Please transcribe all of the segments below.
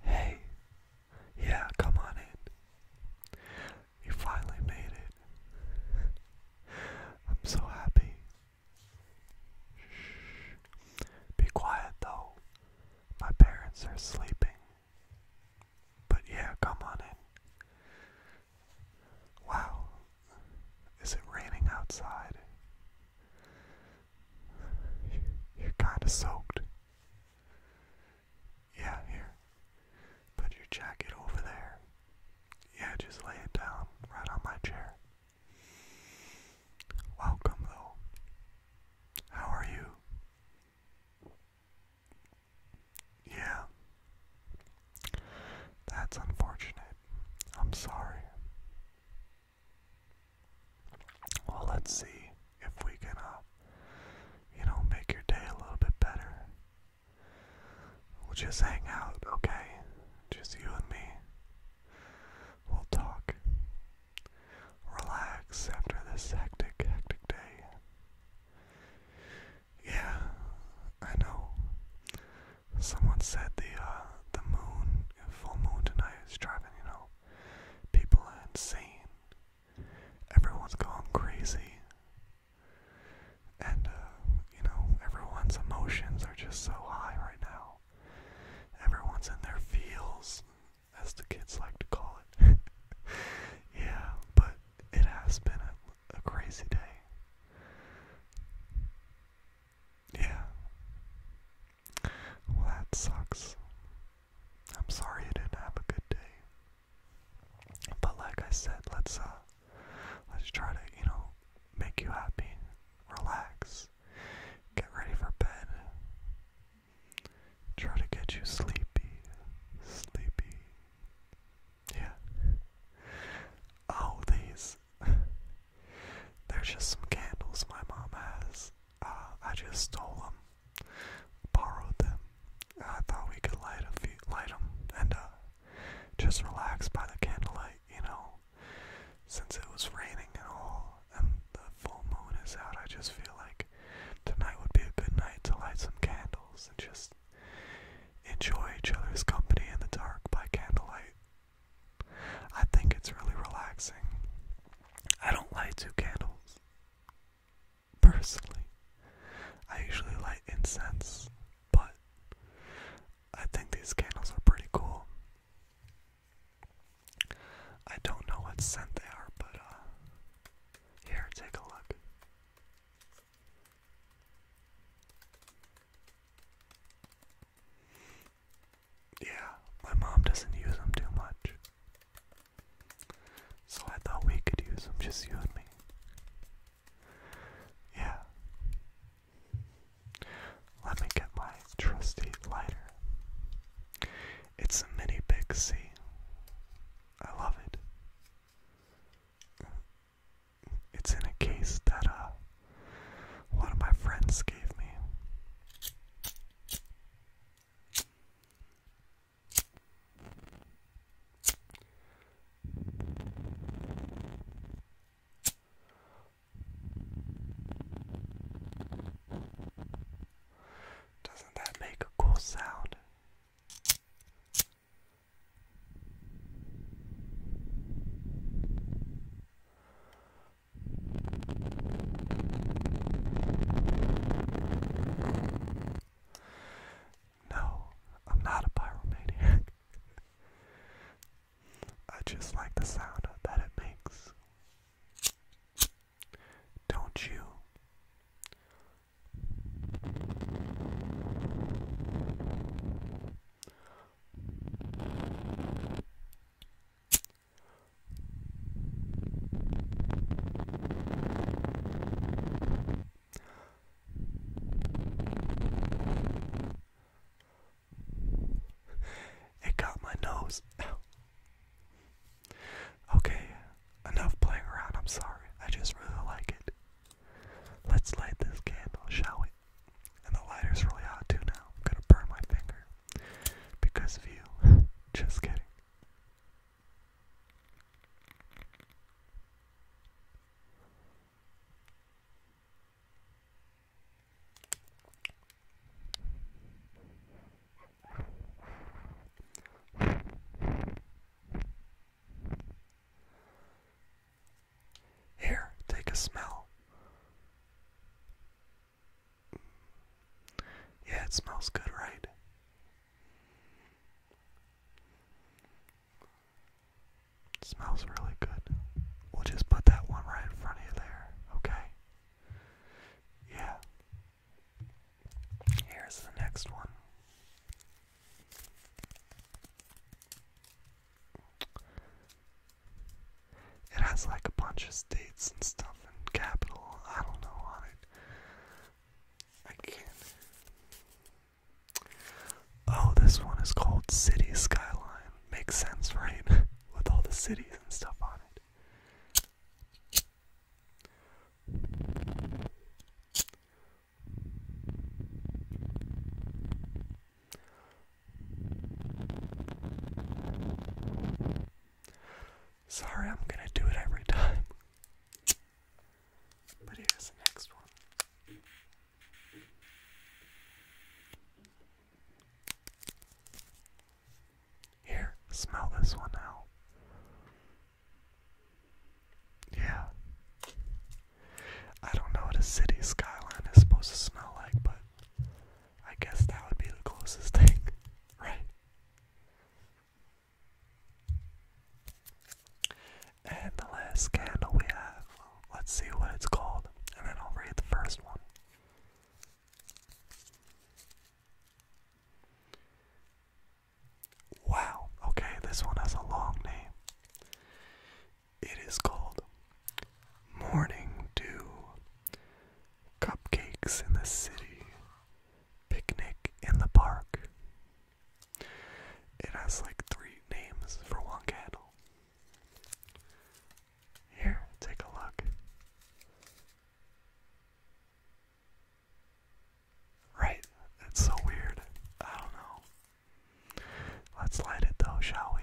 Hey, yeah, come on in. You finally made it. I'm so happy. Shh. Be quiet though. My parents are sleeping. But yeah, come on in. Wow. Is it raining outside? You're kind of soaked. Yeah, here. Put your jacket over there. Yeah, just lay it down right on my chair. Welcome, though. How are you? Yeah. That's unfortunate. I'm sorry. Well, let's see if we can, uh, you know, make your day a little bit better. We'll just hang out, okay? Just you and me. We'll talk. Relax after this hectic, hectic day. Yeah, I know. Someone said the uh, the moon full moon tonight is driving, you know, People are insane. Everyone's gone crazy. And, uh, you know, everyone's emotions are just so high right now. Everyone's in their feels, as the kids like to call it. yeah, but it has been a crazy day. Yeah. Well, that sucks. I'm sorry you didn't have a good day. But like I said, let's uh let's try to, you know, make you happy, relax, get ready for bed. Try to get you sleepy. Sleepy. Yeah. Oh, these. There's just some candles my mom has. Uh, I just stole them, borrowed them. I thought we could light a few, light them and uh, just relax by the candlelight, you know. Since it was raining and all, and the full moon is out, I just feel like tonight would be a good night to light some candles and just enjoy each other's company in the dark by candlelight. I think it's really relaxing. I don't light two candles. Personally, I usually light incense, but I think these candles are pretty cool. I don't know what scent they are, but uh, here, take a look. Yeah, my mom doesn't use them too much. So I thought we could use them, just you and me. Yeah. Let me get my trusty lighter. It's a mini big C. I love it. It's in a case that uh one of my friends gave me. Doesn't that make a cool sound? No, I'm not a pyromaniac. I just like the sound that it makes. Don't you? It got my nose. okay, enough playing around. I'm sorry. I just really like it. Let's light this candle, shall we? And the lighter's really hot too now. I'm gonna burn my finger because of you. Just kidding. Here, take a smell. Yeah, it smells good, right? smells really good. We'll just put that one right in front of you there, okay? Yeah. Here's the next one. It has like a bunch of states and stuff and capital. I don't know on it. I can't. Oh, this one is called City Skyline. Makes sense, right? With all the cities and stuff on it. Sorry, I'm gonna do it every time. But here's the next one. Here, smell this one out. Yeah. I don't know what a city skyline is supposed to smell like, but I guess that would be the closest thing, right? And the last candle we have, let's see what it's called, and then I'll read the first one. Wow, okay, this one has a long name. It is called Morning Dew Cupcakes in the city. Picnic in the park. It has like three names for one candle. Here, take a look. Right, that's so weird. I don't know. Let's light it though, shall we?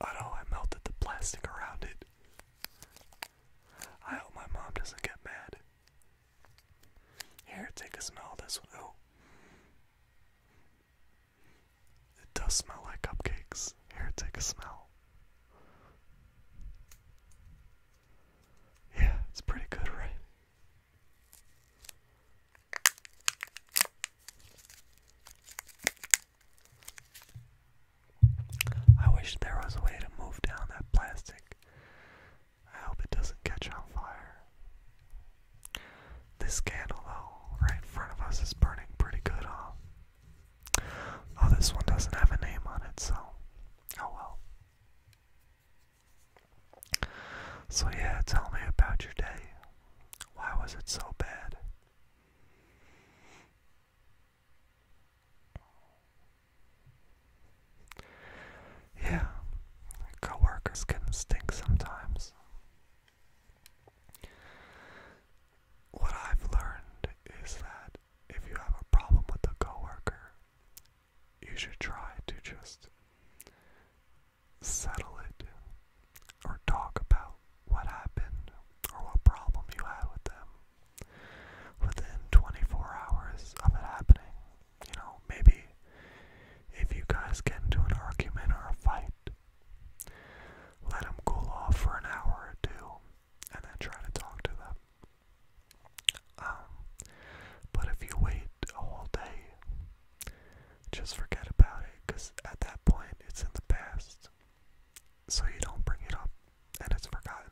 Oh no, I melted the plastic around it. I hope my mom doesn't get mad. Here, take a smell this one. Oh. It does smell like cupcakes. Here, take a smell. Yeah, it's pretty good, right? I wish there was a way to move down that plastic. I hope it doesn't catch on fire. This candle, though, right in front of us is burning pretty good off. Oh, this one doesn't have a name on it, so oh well. So, yeah, tell me about your day. Why was it so bad? Yeah, coworkers can stink sometimes. What I've learned is that if you have a problem with a coworker, you should try to just settle it or talk about what happened or what problem you had with them within 24 hours of it happening. You know, maybe if you guys get into an argument or a fight, let them cool off for an hour or two and then try to talk to them. Um, but if you wait a whole day, just forget about it because at that point it's in the past so you don't bring it up and it's forgotten.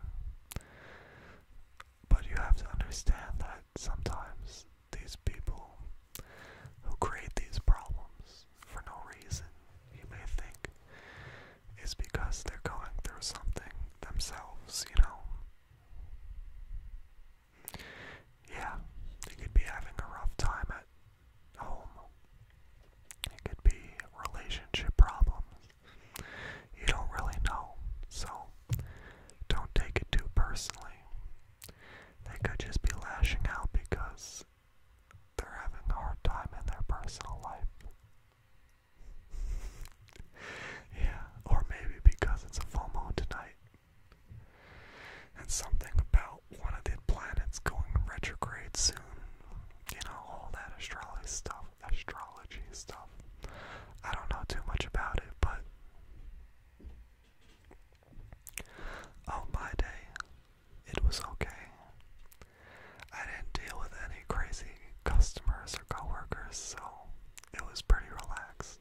But you have to understand that sometimes these people who create these problems for no reason, you may think, is because they're going through something themselves, you know? Yeah, they could be having a rough time at home. It could be relationship problems. You don't really know, so don't take it too personally. They could just be lashing out because they're having a hard time in their personal life. yeah, or maybe because it's a full moon tonight. And something about one of the planets going retrograde soon you know, all that astrology stuff, astrology stuff. I don't know too much about it, but on oh, my day, it was okay. I didn't deal with any crazy customers or coworkers, so it was pretty relaxed.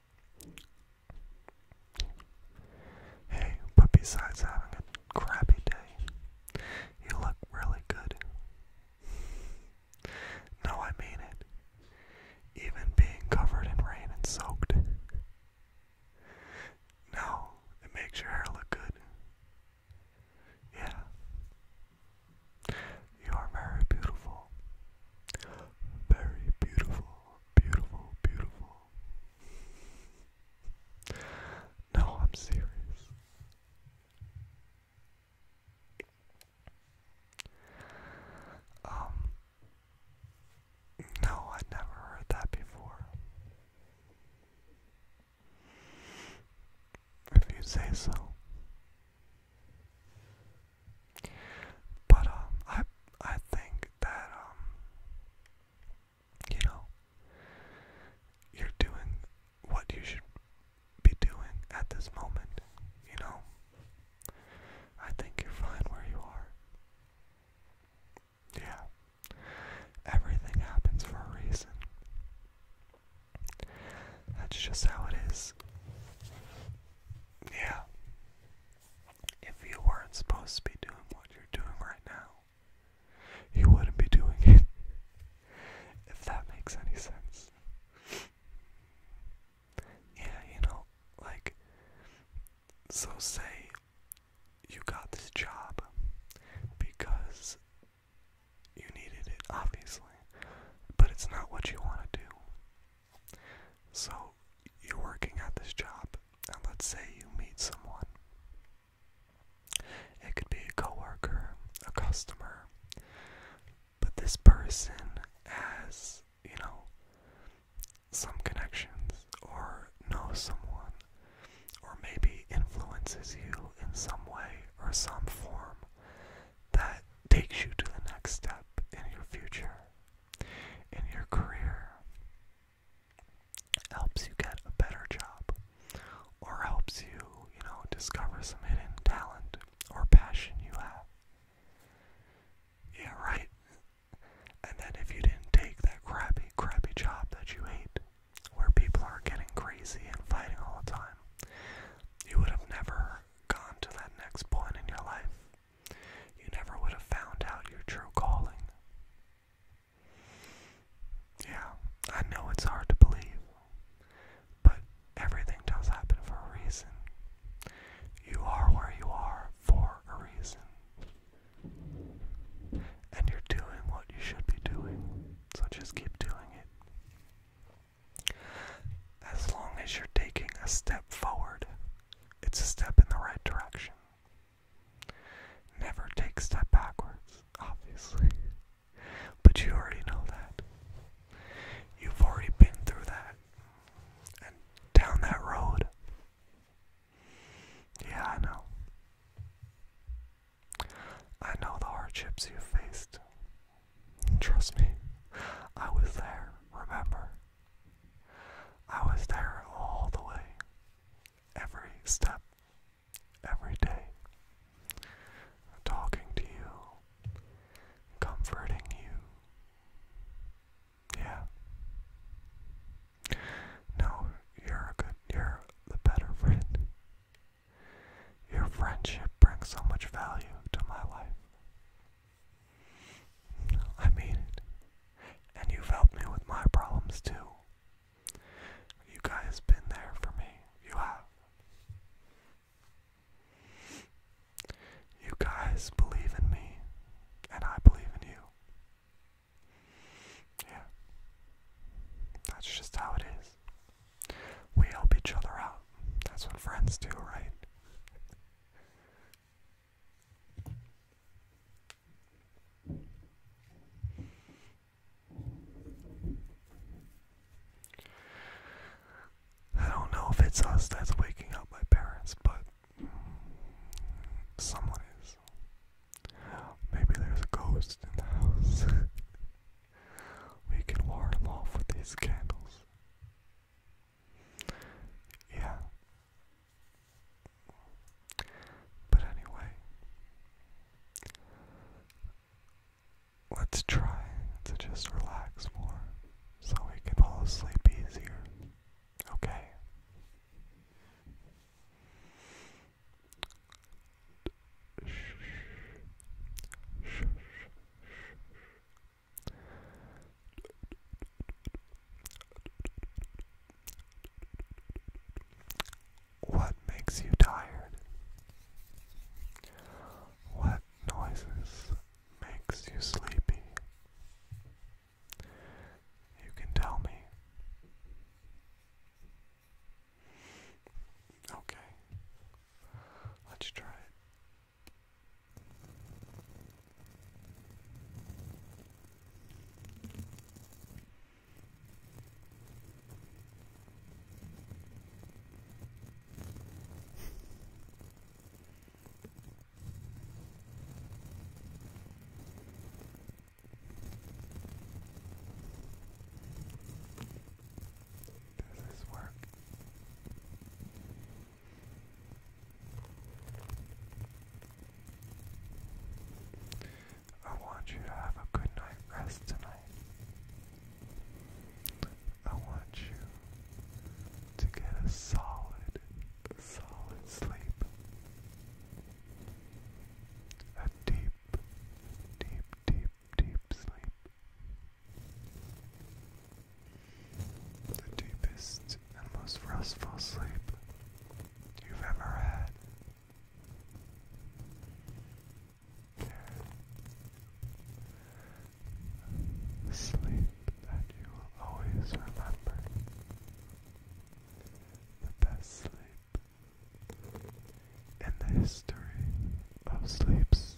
Hey, but besides having a crappy day, you look really good. No, I mean it. Even being covered in rain and soaked. No, it makes your hair look good. Yeah. You are very beautiful. Very beautiful beautiful, beautiful. No, I'm serious. Um, no, I'd never heard that before. If you say so. But um, I I think that um, you know, you're doing what you should be doing at this moment. You know, I think you're fine where you are. Yeah, everything happens for a reason. That's just how it is. Yeah. If you weren't supposed to be doing what you're doing right now, you wouldn't be doing it. if that makes any sense. yeah, you know, like, so say you got this job because you needed it, obviously, but it's not what you want to do. So you're working at this job, and let's say you meet someone. It could be a coworker, a customer, but this person has, you know, some connections or knows someone or maybe influences you in some way or some form that takes you to the next step in your future in your career helps you get a better job or helps you, you know, discover some hidden talent or passion you have. Yeah, right. And then if you didn't take that crappy, crappy job that you hate, where people are getting crazy and fighting all the time, you would have never gone to that next point in your life you never would have found out your true calling. Yeah, I know it's hard to believe, but everything does happen for a reason. You are where you are for a reason. And you're doing what you should be doing, so just keep doing it. As long as you're taking a step forward, it's a step in the right direction. Never take a step backwards, obviously. But you already know that. You've already been through that and down that road. Yeah, I know. I know the hardships you faced. Trust me, I was there, remember? I was there all the way, every step, every day, talking to you, comforting you. Yeah. No, you're a good, you're the better friend. Your friendship brings so much value to my life. I mean it. And you've helped me with my problems too. You guys been there for me. You have. You guys believe in me, and I believe in you. Yeah. That's just how it is. We help each other out. That's what friends do, right? I don't know if it's us that's waking up my parents, but someone is. Maybe there's a ghost in the house. we can ward them off with these candles. Yeah. But anyway, let's try to just relax more so we can fall asleep easier. Okay. Shh. Shh. Shh. What makes you tired? What noises makes you sleepy? You can tell me. Okay. Let's try it. Does this work? I want you to have a good night rest tonight. I want you to get a solid, solid sleep. A deep, deep, deep, deep sleep the deepest and most restful sleep you've ever had. sleep that you will always remember. The best sleep in the history of sleeps.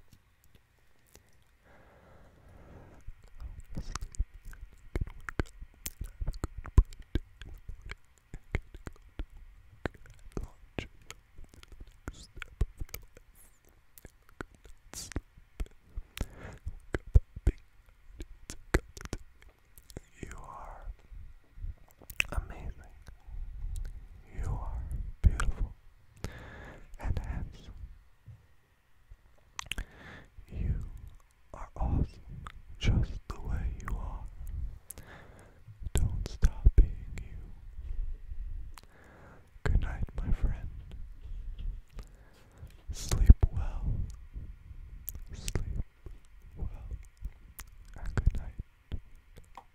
You are amazing. You are beautiful and hence you are awesome just the way you are. Don't stop being you. Good night, my friend. Sleep well. Sleep well. And good night.